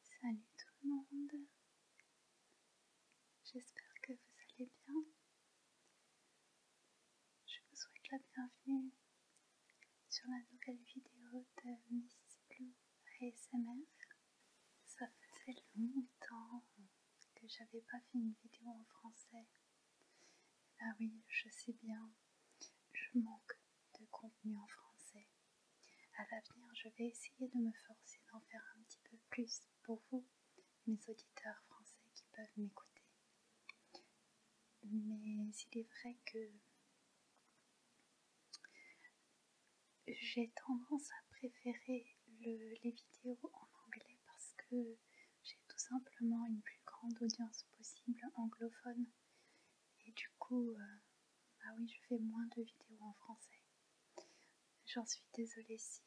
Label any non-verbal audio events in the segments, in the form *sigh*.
Salut tout le monde, j'espère que vous allez bien. Je vous souhaite la bienvenue sur la nouvelle vidéo de Miss Blue ASMR. Ça faisait longtemps que j'avais pas fait une vidéo en français. Ah oui, je sais bien, je manque de contenu en français. À l'avenir, je vais essayer de me forcer d'en faire un petit peu plus pour vous, mes auditeurs français qui peuvent m'écouter. Mais il est vrai que j'ai tendance à préférer le, les vidéos en anglais parce que j'ai tout simplement une plus grande audience possible anglophone. Et du coup, euh, bah oui, je fais moins de vidéos en français. J'en suis désolée si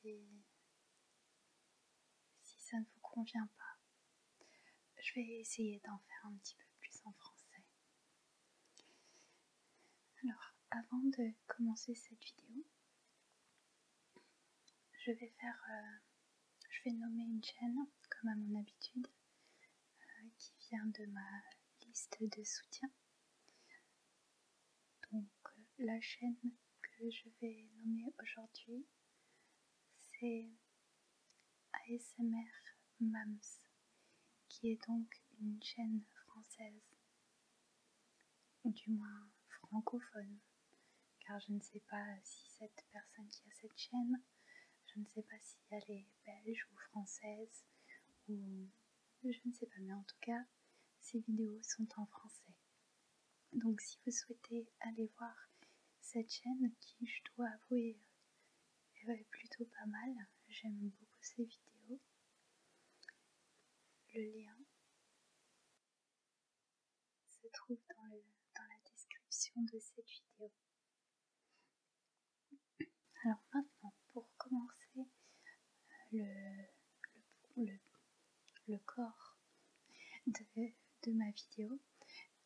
ça ne vous convient pas. Je vais essayer d'en faire un petit peu plus en français. Alors, avant de commencer cette vidéo, je vais faire, euh, je vais nommer une chaîne, comme à mon habitude, euh, qui vient de ma liste de soutien. Donc, euh, la chaîne que je vais nommer aujourd'hui, c'est ASMR Mams, qui est donc une chaîne française du moins francophone, car je ne sais pas si cette personne qui a cette chaîne, je ne sais pas si elle est belge ou française, ou je ne sais pas, mais en tout cas, ces vidéos sont en français. Donc si vous souhaitez aller voir cette chaîne qui, je dois avouer, est plutôt pas mal, j'aime beaucoup ces vidéos. Le lien se trouve dans, la description de cette vidéo. Alors maintenant, pour commencer euh, le, corps de, ma vidéo,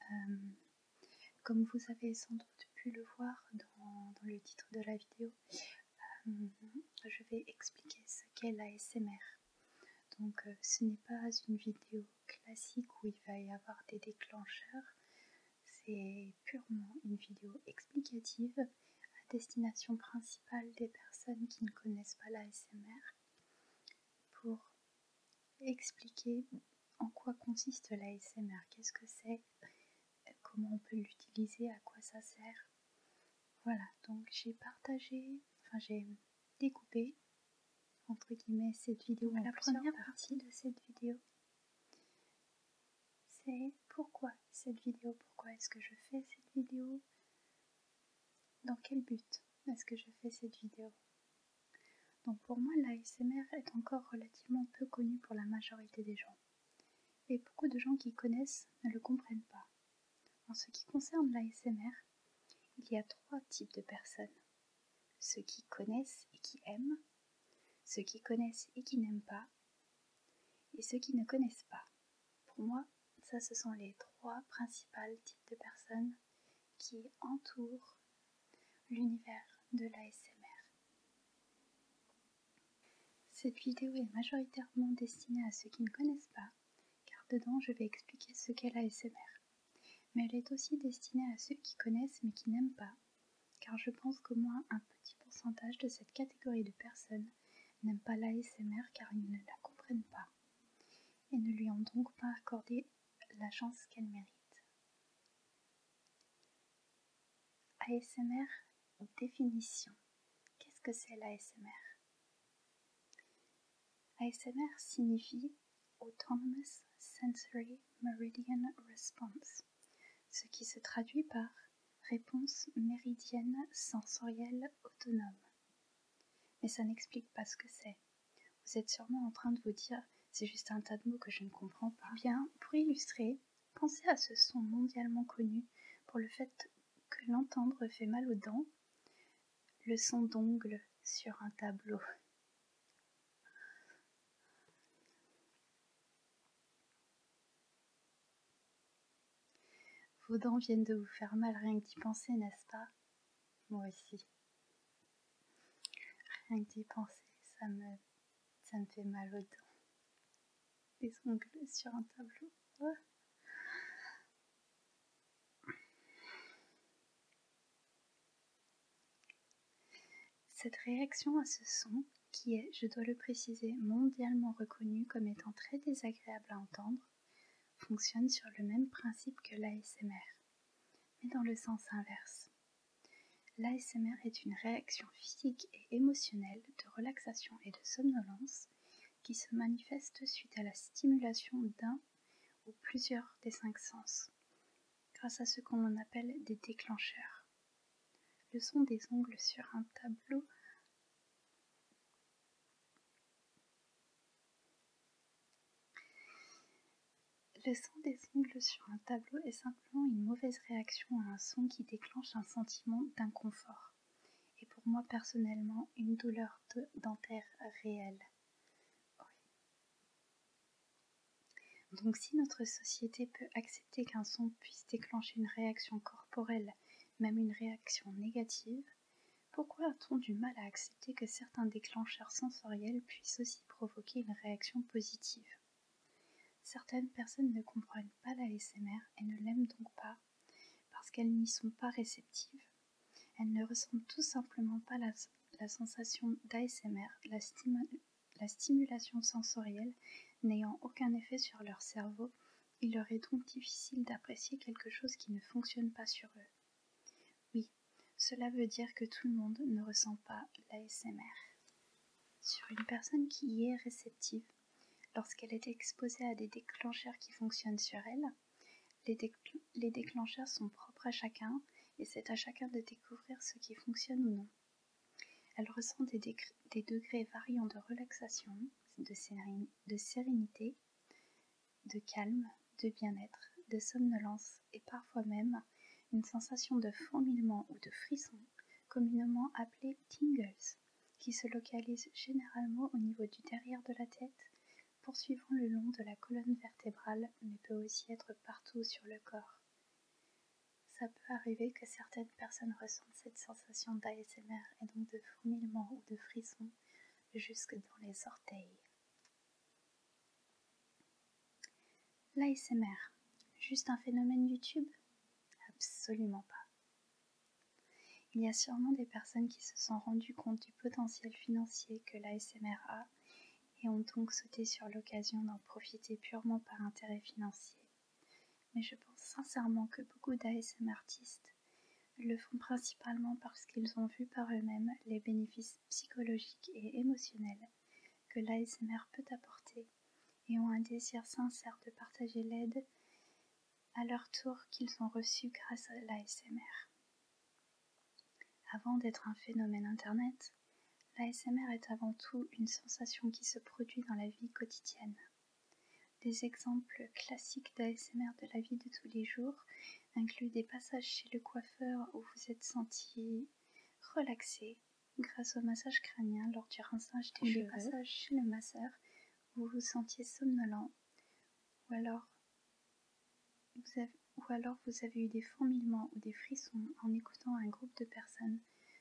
euh, comme vous avez sans doute pu le voir dans le titre de la vidéo, euh, je vais expliquer ce qu'est l'ASMR. Donc euh, ce n'est pas une vidéo classique où il va y avoir des déclencheurs, c'est purement une vidéo explicative à destination principale des personnes qui ne connaissent pas l'ASMR pour expliquer en quoi consiste l'ASMR, qu'est-ce que c'est, comment on peut l'utiliser, à quoi ça sert. Voilà, donc j'ai partagé, enfin j'ai découpé, entre guillemets, cette vidéo. la première partie de cette vidéo, c'est pourquoi cette vidéo, pourquoi est-ce que je fais cette vidéo, dans quel but est-ce que je fais cette vidéo. Donc pour moi, l'ASMR est encore relativement peu connue pour la majorité des gens. Et beaucoup de gens qui connaissent ne le comprennent pas. En ce qui concerne l'ASMR, il y a trois types de personnes. Ceux qui connaissent et qui aiment, ceux qui connaissent et qui n'aiment pas, et ceux qui ne connaissent pas. Pour moi, ça ce sont les trois principaux types de personnes qui entourent l'univers de l'ASMR. Cette vidéo est majoritairement destinée à ceux qui ne connaissent pas, car dedans je vais expliquer ce qu'est l'ASMR. Mais elle est aussi destinée à ceux qui connaissent mais qui n'aiment pas, car je pense qu'au moins un petit pourcentage de cette catégorie de personnes n'aime pas l'ASMR car ils ne la comprennent pas, et ne lui ont donc pas accordé la chance qu'elle mérite. ASMR définition. Qu'est-ce que c'est l'ASMR ASMR signifie Autonomous Sensory Meridian Response, ce qui se traduit par réponse méridienne sensorielle autonome. Mais ça n'explique pas ce que c'est. Vous êtes sûrement en train de vous dire c'est juste un tas de mots que je ne comprends pas. Eh bien, pour illustrer, Pensez à ce son mondialement connu pour le fait que l'entendre fait mal aux dents, le son d'ongles sur un tableau. Vos dents viennent de vous faire mal rien que d'y penser, n'est-ce pas Moi aussi. Rien que d'y penser, ça me ça me fait mal aux dents. Les ongles sur un tableau. Cette réaction à ce son, qui est, je dois le préciser, mondialement reconnue comme étant très désagréable à entendre, fonctionne sur le même principe que l'ASMR, mais dans le sens inverse. L'ASMR est une réaction physique et émotionnelle de relaxation et de somnolence qui se manifeste suite à la stimulation d'un ou plusieurs des cinq sens, grâce à ce qu'on appelle des déclencheurs. Le son des ongles sur un tableau est son une mauvaise réaction à un son qui déclenche un sentiment d'inconfort, et pour moi personnellement une douleur dentaire réelle. Donc si notre société peut accepter qu'un son puisse déclencher une réaction corporelle, même une réaction négative, pourquoi a-t-on du mal à accepter que certains déclencheurs sensoriels puissent aussi provoquer une réaction positive Certaines personnes ne comprennent pas l'ASMR et ne l'aiment donc pas parce qu'elles n'y sont pas réceptives. Elles ne ressentent tout simplement pas la, sensation d'ASMR, la stimulation sensorielle n'ayant aucun effet sur leur cerveau, il leur est donc difficile d'apprécier quelque chose qui ne fonctionne pas sur eux. Oui, cela veut dire que tout le monde ne ressent pas l'ASMR sur une personne qui y est réceptive. Lorsqu'elle est exposée à des déclencheurs qui fonctionnent sur elle, les, déclencheurs sont propres à chacun et c'est à chacun de découvrir ce qui fonctionne ou non. Elle ressent des, degrés variants de relaxation, de sérénité, de calme, de bien-être, de somnolence et parfois même une sensation de fourmillement ou de frisson, communément appelée tingles, qui se localise généralement au niveau du derrière de la tête, poursuivant le long de la colonne vertébrale, mais peut aussi être partout sur le corps. Ça peut arriver que certaines personnes ressentent cette sensation d'ASMR et donc de fourmillement ou de frisson jusque dans les orteils. L'ASMR, juste un phénomène YouTube Absolument pas. Il y a sûrement des personnes qui se sont rendues compte du potentiel financier que l'ASMR a et ont donc sauté sur l'occasion d'en profiter purement par intérêt financier. Mais je pense sincèrement que beaucoup d'ASM artistes le font principalement parce qu'ils ont vu par eux-mêmes les bénéfices psychologiques et émotionnels que l'ASMR peut apporter et ont un désir sincère de partager l'aide à leur tour qu'ils ont reçue grâce à l'ASMR. Avant d'être un phénomène Internet, l'ASMR est avant tout une sensation qui se produit dans la vie quotidienne. Des exemples classiques d'ASMR de la vie de tous les jours incluent des passages chez le coiffeur où vous êtes senti relaxé, grâce au massage crânien lors du rinçage des ou chez le masseur, vous vous sentiez somnolent ou alors, vous avez, ou alors vous avez eu des fourmillements ou des frissons en écoutant un groupe de personnes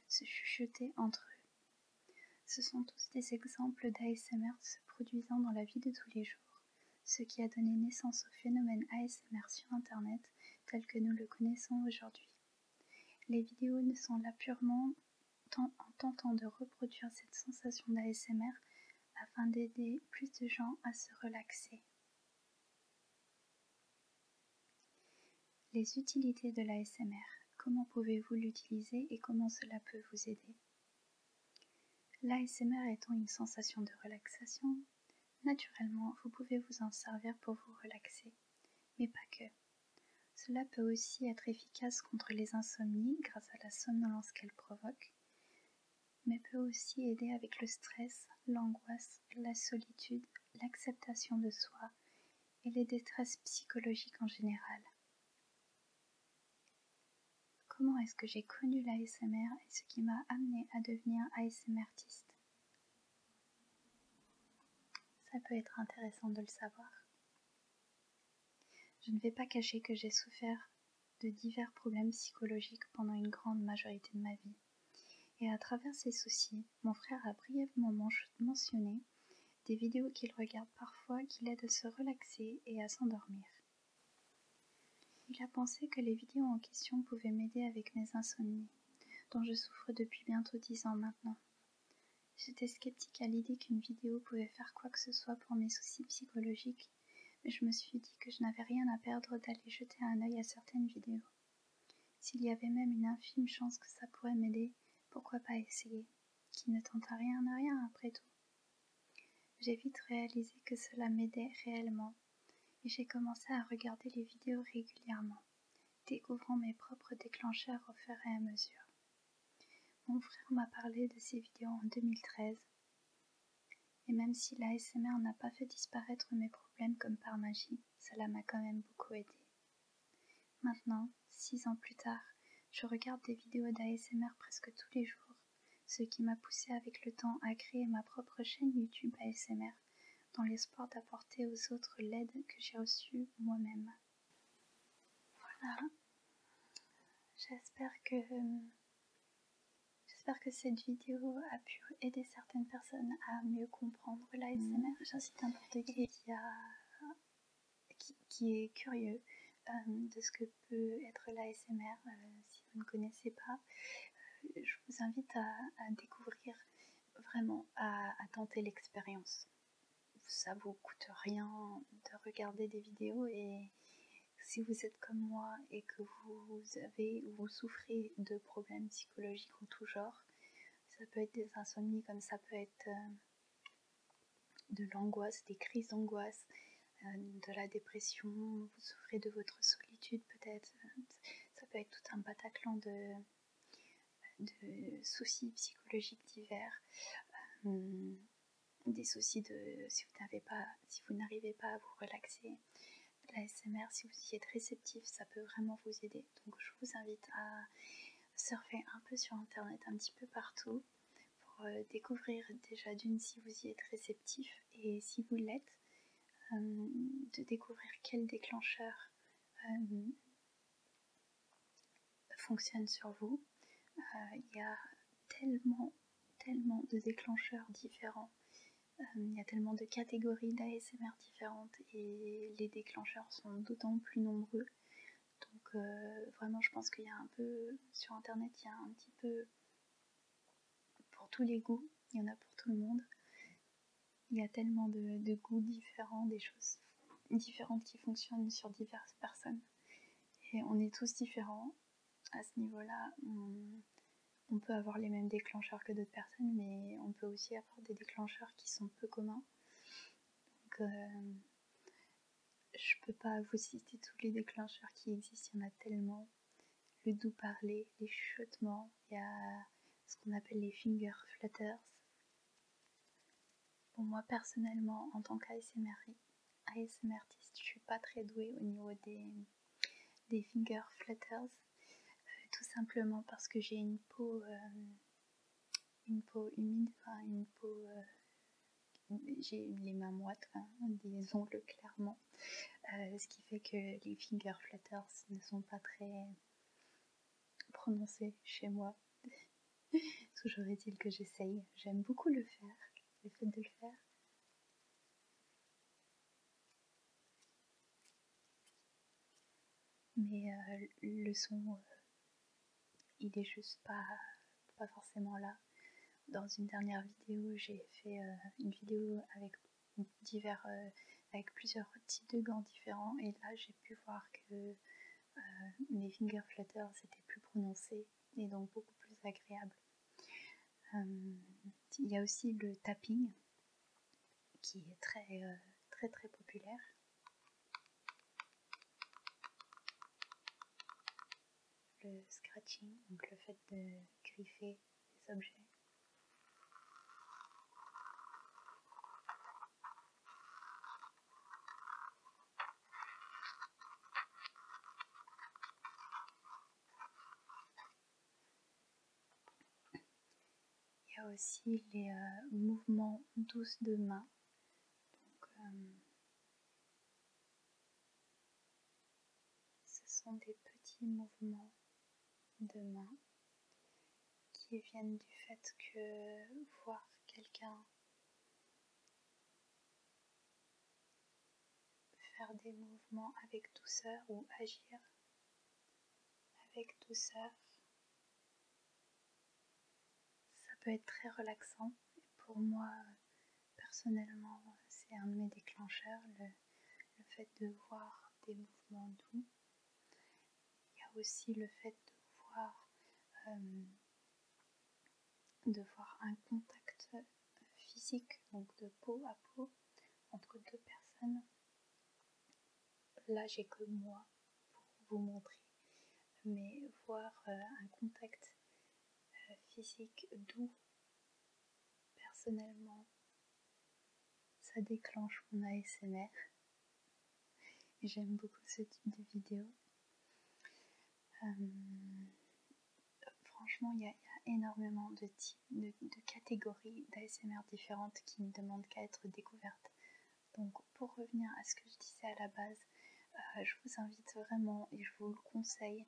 se chuchoter entre eux. Ce sont tous des exemples d'ASMR se produisant dans la vie de tous les jours, ce qui a donné naissance au phénomène ASMR sur Internet tel que nous le connaissons aujourd'hui. Les vidéos ne sont là purement en tentant de reproduire cette sensation d'ASMR afin d'aider plus de gens à se relaxer. Les utilités de l'ASMR. Comment pouvez-vous l'utiliser et comment cela peut vous aider L'ASMR étant une sensation de relaxation, Naturellement, vous pouvez vous en servir pour vous relaxer, mais pas que. Cela peut aussi être efficace contre les insomnies grâce à la somnolence qu'elle provoque, mais peut aussi aider avec le stress, l'angoisse, la solitude, l'acceptation de soi et les détresses psychologiques en général. Comment est-ce que j'ai connu l'ASMR et ce qui m'a amené à devenir ASMRtiste ça peut être intéressant de le savoir. Je ne vais pas cacher que j'ai souffert de divers problèmes psychologiques pendant une grande majorité de ma vie. Et à travers ces soucis, mon frère a brièvement mentionné des vidéos qu'il regarde parfois qui l'aident à se relaxer et à s'endormir. Il a pensé que les vidéos en question pouvaient m'aider avec mes insomnies dont je souffre depuis bientôt dix ans maintenant. J'étais sceptique à l'idée qu'une vidéo pouvait faire quoi que ce soit pour mes soucis psychologiques, mais je me suis dit que je n'avais rien à perdre d'aller jeter un œil à certaines vidéos. S'il y avait même une infime chance que ça pourrait m'aider, pourquoi pas essayer Qui ne tente rien à rien après tout. J'ai vite réalisé que cela m'aidait réellement et j'ai commencé à regarder les vidéos régulièrement, découvrant mes propres déclencheurs au fur et à mesure. Mon frère m'a parlé de ces vidéos en 2013, et même si l'ASMR n'a pas fait disparaître mes problèmes comme par magie, cela m'a quand même beaucoup aidé. Maintenant, six ans plus tard, je regarde des vidéos d'ASMR presque tous les jours, ce qui m'a poussé avec le temps à créer ma propre chaîne YouTube ASMR dans l'espoir d'apporter aux autres l'aide que j'ai reçue moi-même. Voilà. J'espère que j'espère que cette vidéo a pu aider certaines personnes à mieux comprendre l'ASMR. Mm. J'incite un portugais qui, qui est curieux euh, de ce que peut être l'ASMR euh, si vous ne connaissez pas. Euh, je vous invite à, découvrir vraiment, à, tenter l'expérience. Ça vous coûte rien de regarder des vidéos et si vous êtes comme moi et que vous avez ou vous souffrez de problèmes psychologiques en tout genre, ça peut être des insomnies comme ça peut être euh, de l'angoisse, des crises d'angoisse, euh, de la dépression, vous souffrez de votre solitude peut-être, euh, ça peut être tout un bataclan de, de soucis psychologiques divers, euh, des soucis de si vous n'avez pas, si vous n'arrivez pas à vous relaxer. La SMR, si vous y êtes réceptif, ça peut vraiment vous aider. Donc je vous invite à surfer un peu sur internet, un petit peu partout, pour euh, découvrir déjà d'une si vous y êtes réceptif et si vous l'êtes, euh, de découvrir quel déclencheur fonctionnent euh, fonctionne sur vous. Euh, il y a tellement, tellement de déclencheurs différents. Il y a tellement de catégories d'ASMR différentes et les déclencheurs sont d'autant plus nombreux. Donc vraiment je pense qu'il y a un peu sur internet il y a un petit peu pour tous les goûts, il y en a pour tout le monde. Il y a tellement de, goûts différents, des choses différentes qui fonctionnent sur diverses personnes. Et on est tous différents. À ce niveau-là, on, peut avoir les mêmes déclencheurs que d'autres personnes, mais on peut aussi avoir des déclencheurs qui sont peu communs. Donc, euh, je peux pas vous citer tous les déclencheurs qui existent, il y en a tellement le doux parler, les chuchotements, il y a ce qu'on appelle les finger flutters Pour moi personnellement, en tant qu'ASMR, artiste, je suis pas très douée au niveau des, des finger flutters euh, tout simplement parce que j'ai une peau euh, une peau humide, une peau euh, j'ai les mains moites, des ongles clairement. Euh, ce qui fait que les finger flutters ne sont pas très prononcés chez moi. *laughs* Toujours est-il que j'essaye, j'aime beaucoup le faire, le fait de le faire. Mais euh, le son, euh, il est juste pas, pas forcément là dans une dernière vidéo, j'ai fait euh, une vidéo avec, divers, euh, avec plusieurs types de gants différents et là j'ai pu voir que euh, mes finger flutters étaient plus prononcés et donc beaucoup plus agréables. Il y a aussi le tapping qui est très très très populaire le scratching, donc le fait de griffer les objets. Il y a aussi les euh, mouvements douces de main. Euh, ce sont des petits mouvements de mains qui viennent du fait que voir quelqu'un faire des mouvements avec douceur ou agir avec douceur, ça peut être très relaxant. pour moi, personnellement, c'est un de mes déclencheurs, le, fait de voir des mouvements doux. Il y a aussi le fait de voir, euh, de voir un contact physique, donc de peau à peau, entre deux personnes. Là, j'ai que moi pour vous montrer, mais voir euh, un contact euh, physique doux personnellement, ça déclenche mon ASMR. J'aime beaucoup ce type de vidéo. Euh, franchement, il y, a énormément de de, catégories d'ASMR différentes qui ne demandent qu'à être découvertes. Donc, pour revenir à ce que je disais à la base, euh, je vous invite vraiment et je vous le conseille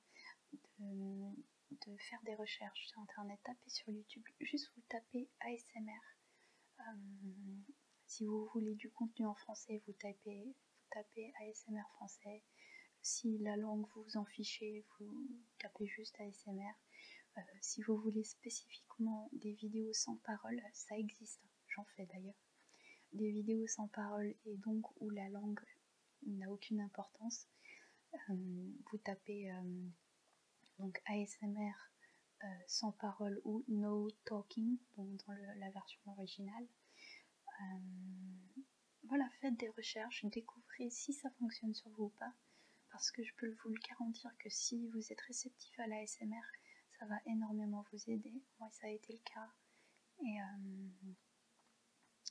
de, faire des recherches sur internet, tapez sur YouTube, juste vous tapez ASMR. Euh, si vous voulez du contenu en français, vous tapez, tapez ASMR français. Si la langue vous, en fichez, vous tapez juste ASMR. Euh, si vous voulez spécifiquement des vidéos sans parole, ça existe, hein, j'en fais d'ailleurs. Des vidéos sans parole et donc où la langue n'a aucune importance. Euh, vous tapez euh, donc ASMR euh, sans parole ou no talking, dans la version originale. voilà, faites des recherches, découvrez si ça fonctionne sur vous ou pas, parce que je peux vous le garantir que si vous êtes réceptif à l'ASMR, ça va énormément vous aider. Moi, ça a été le cas. Et,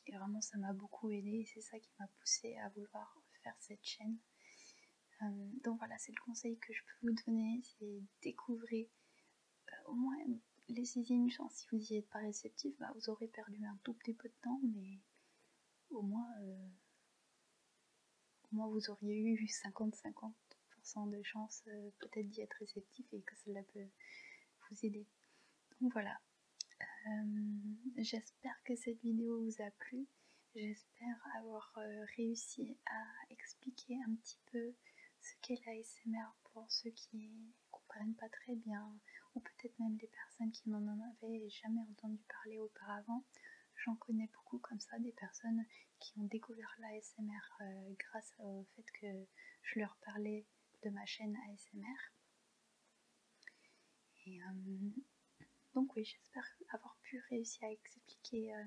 et vraiment, ça m'a beaucoup aidé et c'est ça qui m'a poussé à vouloir faire cette chaîne. Euh, donc voilà, c'est le conseil que je peux vous donner, c'est découvrir euh, au moins laissez-y une chance. Si vous n'y êtes pas réceptif, bah, vous aurez perdu un tout petit peu de temps, mais au moins, euh, au moins vous auriez eu 50-50% de chance peut-être d'y être réceptif et que cela peut vous aider. Donc voilà. Euh, j'espère que cette vidéo vous a plu. J'espère avoir euh, réussi à expliquer un petit peu ce qu'est l'ASMR pour ceux qui ne comprennent pas très bien, ou peut-être même des personnes qui n'en avaient jamais entendu parler auparavant. J'en connais beaucoup comme ça, des personnes qui ont découvert l'ASMR euh, grâce au fait que je leur parlais de ma chaîne ASMR. Et euh, donc oui, j'espère avoir pu réussir à expliquer euh,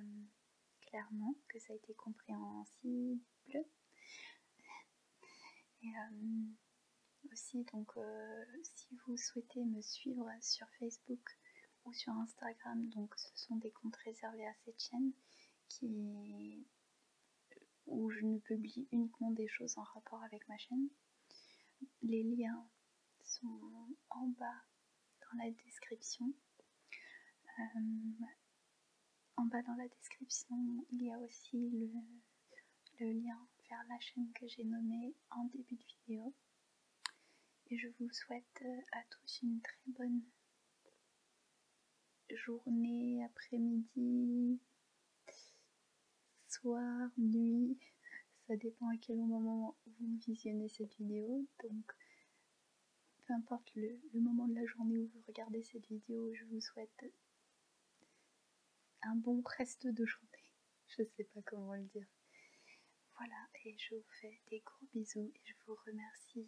clairement que ça a été compréhensible. Et euh, aussi, donc, si vous souhaitez me suivre sur Facebook ou sur Instagram, donc ce sont des comptes réservés à cette chaîne qui où je ne publie uniquement des choses en rapport avec ma chaîne. Les liens sont en bas dans la description. Euh, en bas dans la description, il y a aussi le, le lien vers la chaîne que j'ai nommée en début de vidéo. Et je vous souhaite à tous une très bonne journée, après-midi, soir, nuit, ça dépend à quel moment vous visionnez cette vidéo. Donc, peu importe le, moment de la journée où vous regardez cette vidéo, je vous souhaite un bon reste de journée. *laughs* Je sais pas comment le dire. Voilà, et je vous fais des gros bisous et je vous remercie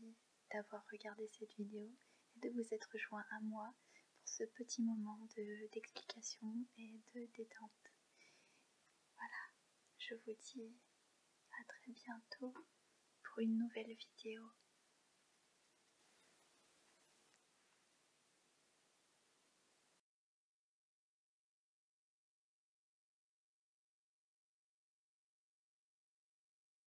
d'avoir regardé cette vidéo et de vous être joint à moi pour ce petit moment d'explication et de détente. Voilà, je vous dis à très bientôt pour une nouvelle vidéo.